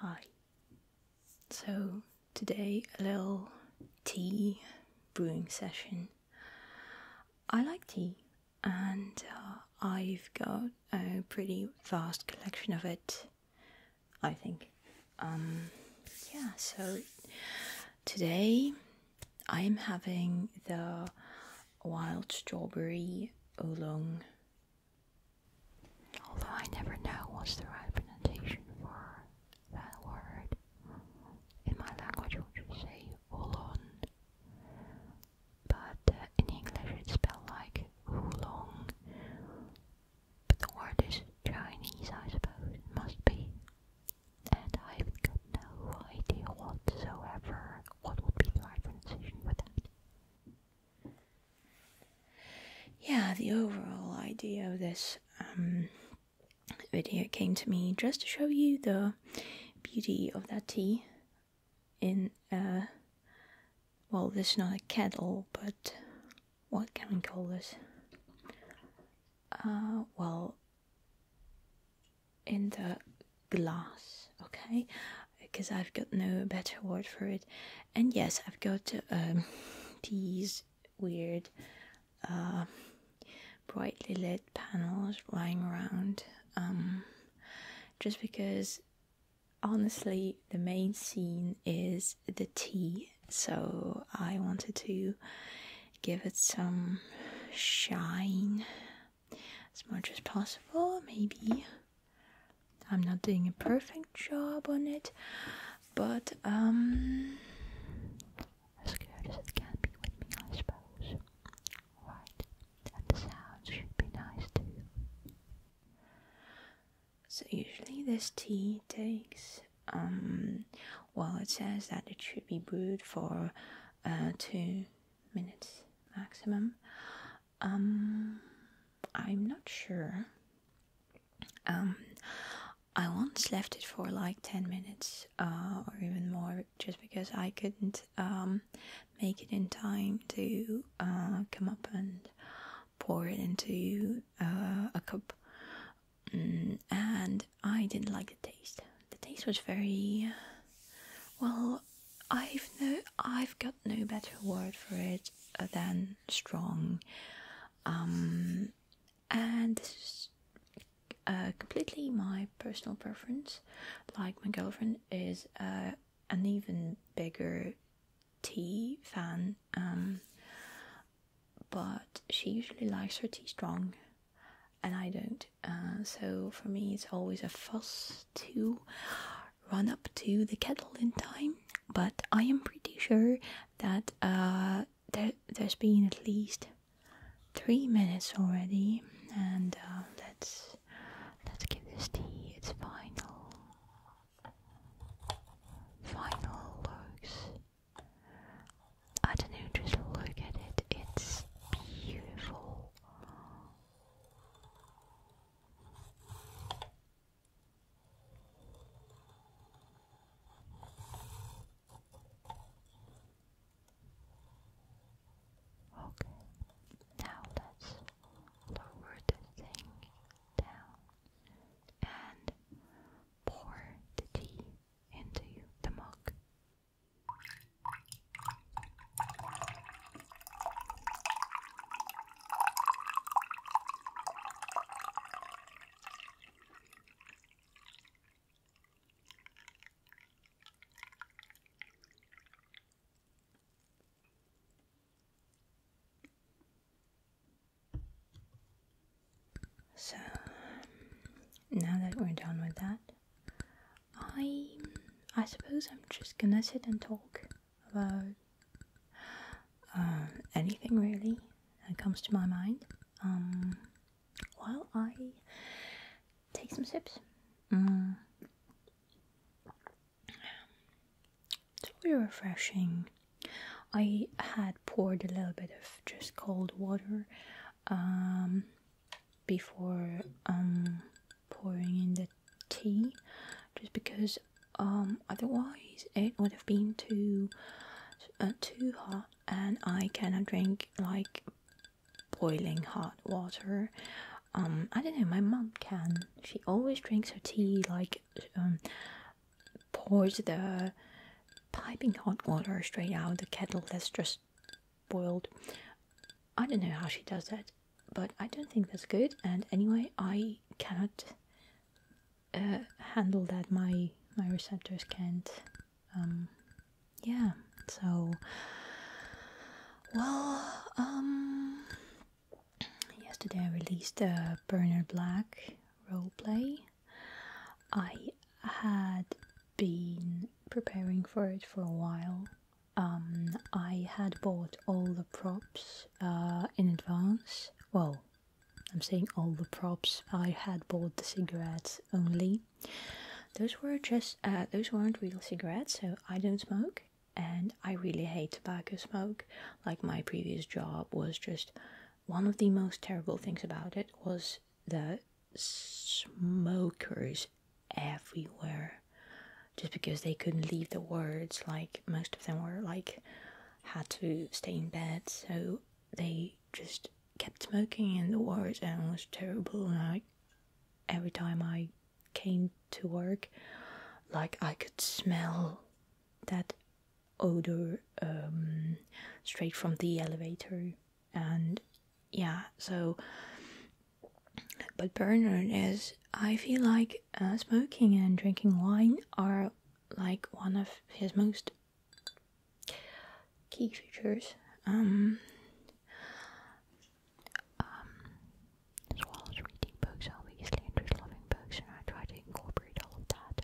Hi. So, today a little tea brewing session. I like tea and uh, I've got a pretty vast collection of it, I think um, yeah, so today I am having the wild strawberry oolong. Although I never know what's the right pronunciation for that word. In my language, we would say oolong, but uh, in English it's spelled like oolong. But the word is Chinese, I suppose. It must be. And I've got no idea whatsoever what would be the right pronunciation for that. Yeah, the overall idea of this um, video came to me just to show you the beauty of that tea in, uh, well, this is not a kettle, but what can we call this? Uh, well, in the glass, okay? Because I've got no better word for it. And yes, I've got um, these weird, uh, brightly lit panels lying around. Um, just because, honestly, the main scene is the tea, so I wanted to give it some shine as much as possible. Maybe I'm not doing a perfect job on it, but um, as good as it can be with me, I suppose. Right, and the sounds should be nice too. So usually this tea takes, um, well it says that it should be brewed for uh, two minutes maximum. Um, I'm not sure. Um, I once left it for like 10 minutes uh, or even more just because I couldn't make it in time to uh, come up and pour it into uh, a cup, mm, and I didn't like the taste. The taste was very uh, well. I've no, I've got no better word for it uh, than strong. Um, and this is completely my personal preference. Like my girlfriend is uh, an even bigger tea fan. Um, but she usually likes her tea strong and I don't. Uh, so for me, it's always a fuss to run up to the kettle in time. But I am pretty sure that uh, there, has been at least three minutes already, and uh, let's let's give this tea its final final looks. I don't know, just look at it, it's beautiful. Okay, now let's lower the thing down and pour the tea into the mug. So now that we're done with that, I I suppose I'm just gonna sit and talk about uh, anything really that comes to my mind. Um, while I take some sips. Mm. It's very refreshing. I had poured a little bit of just cold water um, before um, pouring in the tea, just because um, otherwise it would have been too uh, too hot, and I cannot drink like boiling hot water. I don't know. My mom can. She always drinks her tea like um, pours the piping hot water straight out of the kettle that's just boiled. I don't know how she does that, but I don't think that's good. And anyway, I cannot uh, handle that. My my receptors can't. Um, yeah. So, well, um, Yesterday I released a Burner Black role play. I had been preparing for it for a while. Um, I had bought all the props uh, in advance. Well, I'm saying all the props. I had bought the cigarettes only. Those were just uh, those weren't real cigarettes, so I don't smoke and I really hate tobacco smoke. Like my previous job was just one of the most terrible things about it was the smokers everywhere just because they couldn't leave the wards like most of them were like had to stay in bed so they just kept smoking in the wards and it was terrible Like every time I came to work, like I could smell that odor um, straight from the elevator. And yeah, so. But Bernard is, I feel like uh, smoking and drinking wine are like one of his most key features. Um, um, as well as reading books, i obviously, and just loving books, and I try to incorporate all of that.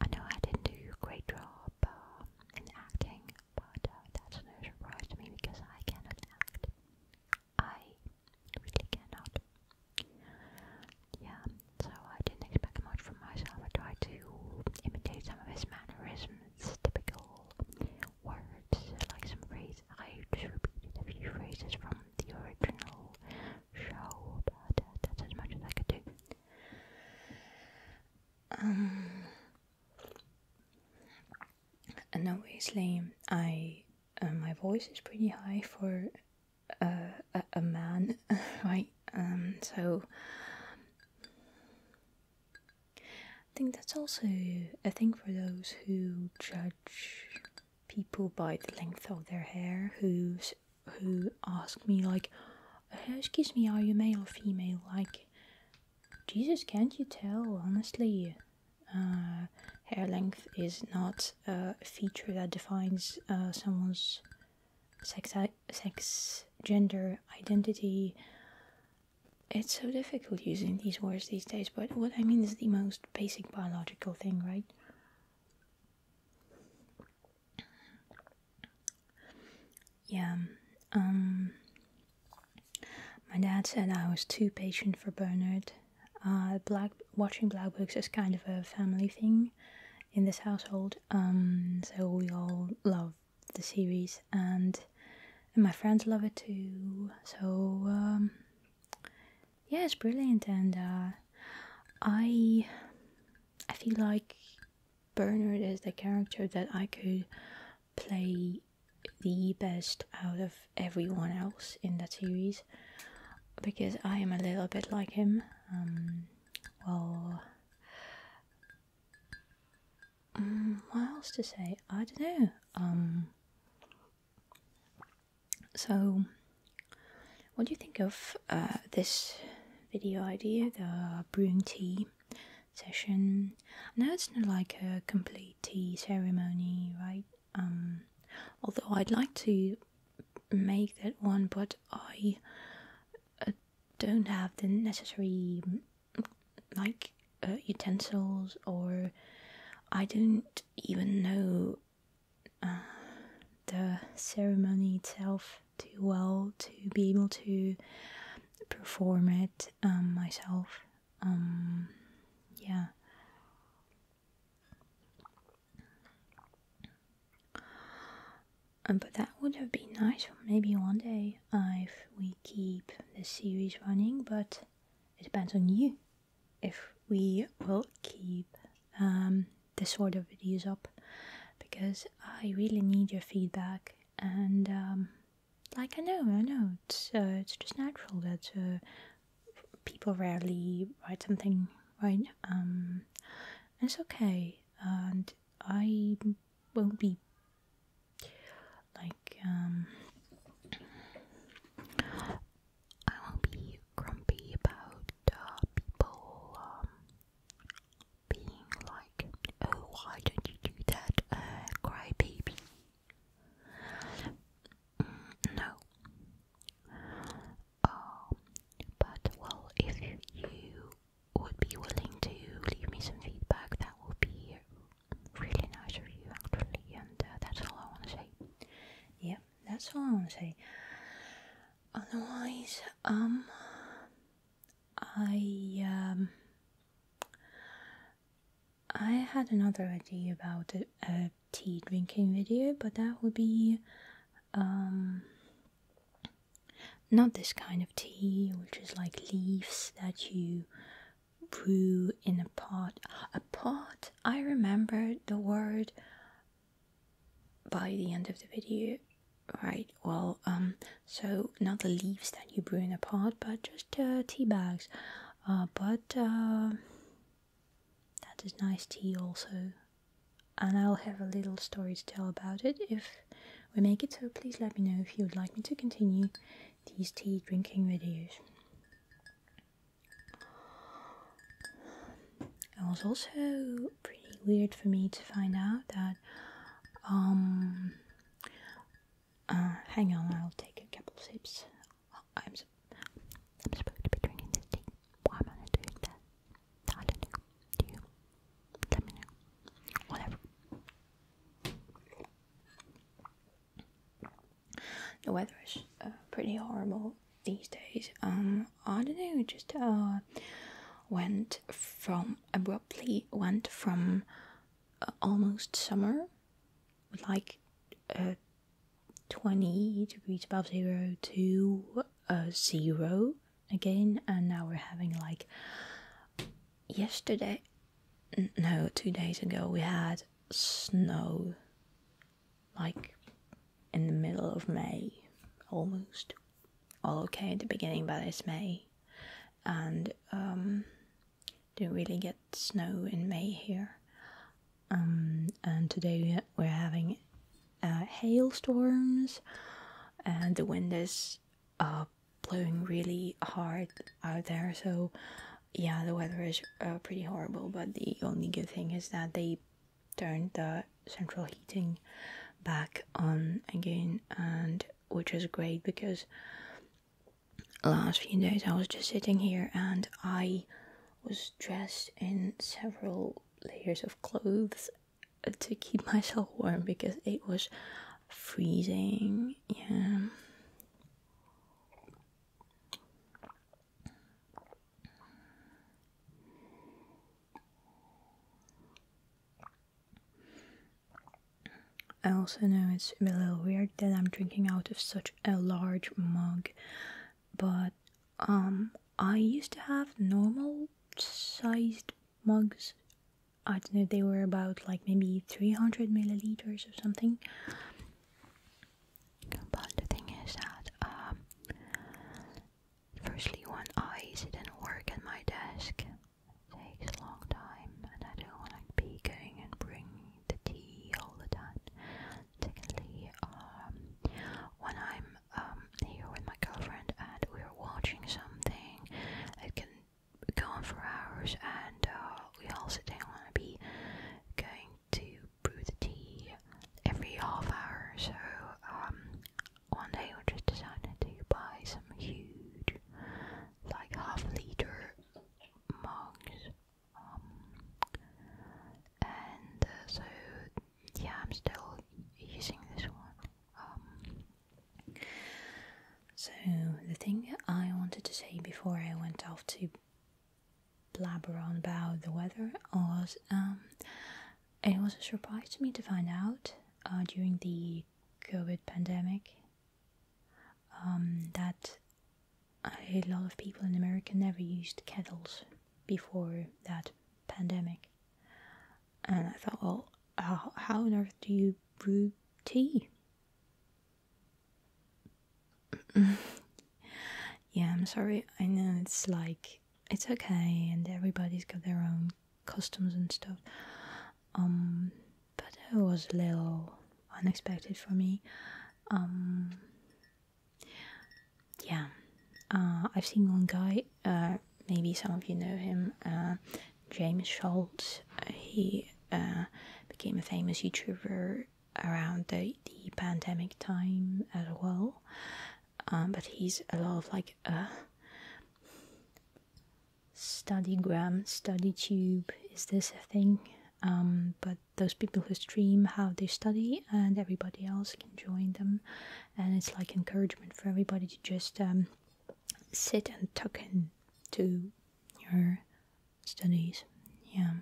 I know I didn't do a great job uh, in acting, but uh, that's no surprise to me because I cannot act. I really cannot. Yeah, so I didn't expect much from myself. I tried to imitate some of his mannerisms, typical words, like some phrase. I just repeated a few phrases from the original show, but that's as much as I could do. Um, and obviously, I uh, my voice is pretty high for a, man, right? Um, so I think that's also a thing for those who judge people by the length of their hair who who ask me like excuse me are you male or female like jesus can't you tell honestly uh, hair length is not a feature that defines uh, someone's sex sex gender identity it's so difficult using these words these days, but what I mean is the most basic biological thing, right? Yeah, um, my dad said I was too patient for Bernard. Uh, black watching black books is kind of a family thing in this household, um, so we all love the series, and and my friends love it too. So um, yeah, it's brilliant, and uh, I I feel like Bernard is the character that I could play the best out of everyone else in the series because I am a little bit like him. Um, well, Mm, what else to say? I don't know. Um, so, what do you think of uh, this video idea, the brewing tea session? I know it's not like a complete tea ceremony, right? Um, although I'd like to make that one, but I uh, don't have the necessary like uh, utensils or I don't even know uh, the ceremony itself too well to be able to perform it um, myself. Um, yeah. Uh, but that would have been nice maybe one day if we keep the series running but it depends on you if we will keep um, this sort of videos up because I really need your feedback and um, like I know I know it's uh, it's just natural that uh, people rarely write something right um, it's okay and I won't be like, um, I won't be grumpy about uh, people um, being like, oh, why don't you do that, uh, crybaby? Mm, no. Um, but, well, if you would be willing to leave me some feedback, that would be really nice of actually and uh, that's all I want to say yeah that's all I want to say otherwise um I um I had another idea about a, a tea drinking video but that would be um not this kind of tea which is like leaves that you Brew in a pot. A pot? I remember the word by the end of the video. Right, well, um, so not the leaves that you brew in a pot, but just uh, tea bags. Uh, but uh, that is nice tea also. And I'll have a little story to tell about it if we make it, so please let me know if you would like me to continue these tea drinking videos. It was also pretty weird for me to find out that, um, uh, hang on, I'll take a couple sips. I'm, supposed to be drinking this tea. Why am I doing that? I don't know. Do you? Let me know. Whatever. The weather is uh, pretty horrible these days. I don't know, just uh, went from abruptly went from uh, almost summer like 20 degrees above zero to zero again, and now we're having like yesterday no, two days ago we had snow, like in the middle of May, almost. All okay at the beginning, but it's May, and um, didn't really get snow in May here. Um, and today we're having uh, hailstorms, and the wind is up blowing really hard out there so yeah the weather is uh, pretty horrible but the only good thing is that they turned the central heating back on again and which is great because last few days I was just sitting here and I was dressed in several layers of clothes to keep myself warm because it was freezing. Yeah. I also know it's a little weird that I'm drinking out of such a large mug, but um, I used to have normal sized mugs I don't know, they were about like maybe 300 milliliters or something. But the thing is that, um, firstly, when I sit and work at my desk, takes a long time, and I don't want to be going and bringing the tea all the time. Secondly, um, when I'm um, here with my girlfriend and we're watching something, it can for hours, and uh, we also then want to be going to brew the tea every half hour. So um, one day we just decided to buy some huge, like half liter mugs. Um, and uh, so yeah, I'm still using this one. Um, so, the thing I wanted to say before I went off to blabber on about the weather was um, it was a surprise to me to find out uh, during the COVID pandemic um, that a lot of people in America never used kettles before that pandemic. And I thought, well, how, on earth do you brew tea? yeah, I'm sorry. I know it's like it's okay, and everybody's got their own customs and stuff. Um, but it was a little unexpected for me. Um, yeah, uh, I've seen one guy uh, maybe some of you know him, uh, James Schultz. Uh, he became a famous YouTuber around the, the pandemic time as well. Um, but he's a lot of like StudyGram, StudyTube. Is this a thing? Um, but those people who stream how they study, and everybody else can join them and it's like encouragement for everybody to just um, sit and tuck into your studies. Yeah,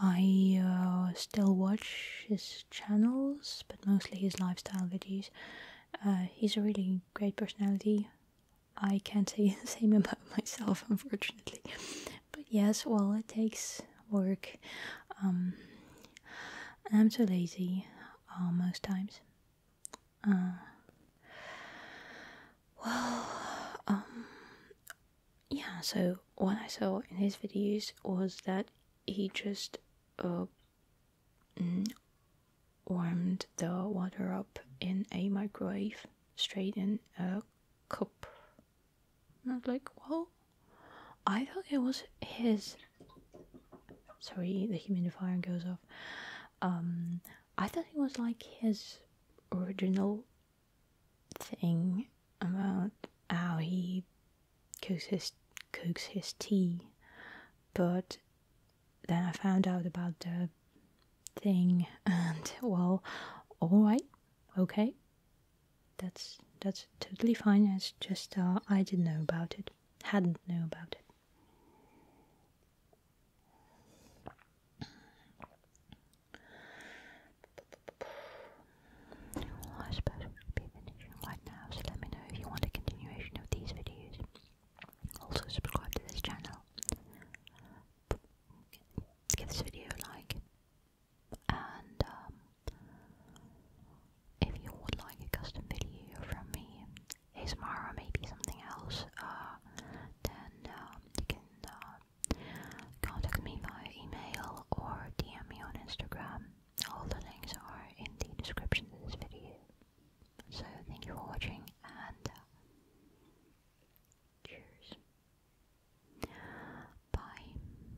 I uh, still watch his channels, but mostly his lifestyle videos. Uh, he's a really great personality. I can't say the same about myself, unfortunately. But yes, well, it takes work. Um, I'm too lazy uh, most times. Uh, well, um, yeah, so what I saw in his videos was that he just uh, mm, warmed the water up in a microwave straight in a cup. And I was like, well, I thought it was his. Sorry, the humidifier goes off. Um, I thought it was like his original thing about how he cooks his cooks his tea, but then I found out about the thing, and well, all right, okay, that's that's totally fine. It's just uh, I didn't know about it. Hadn't know about it. I suppose right now, so let me know if you want a continuation of these videos. Also, subscribe to this channel. Give this video a like and um, if you would like a custom video from me, ASMR or maybe something else, uh, then um, you can uh, contact me via email or DM me on Instagram. All the links are in the description of this video. So thank you for watching and uh, cheers. Bye.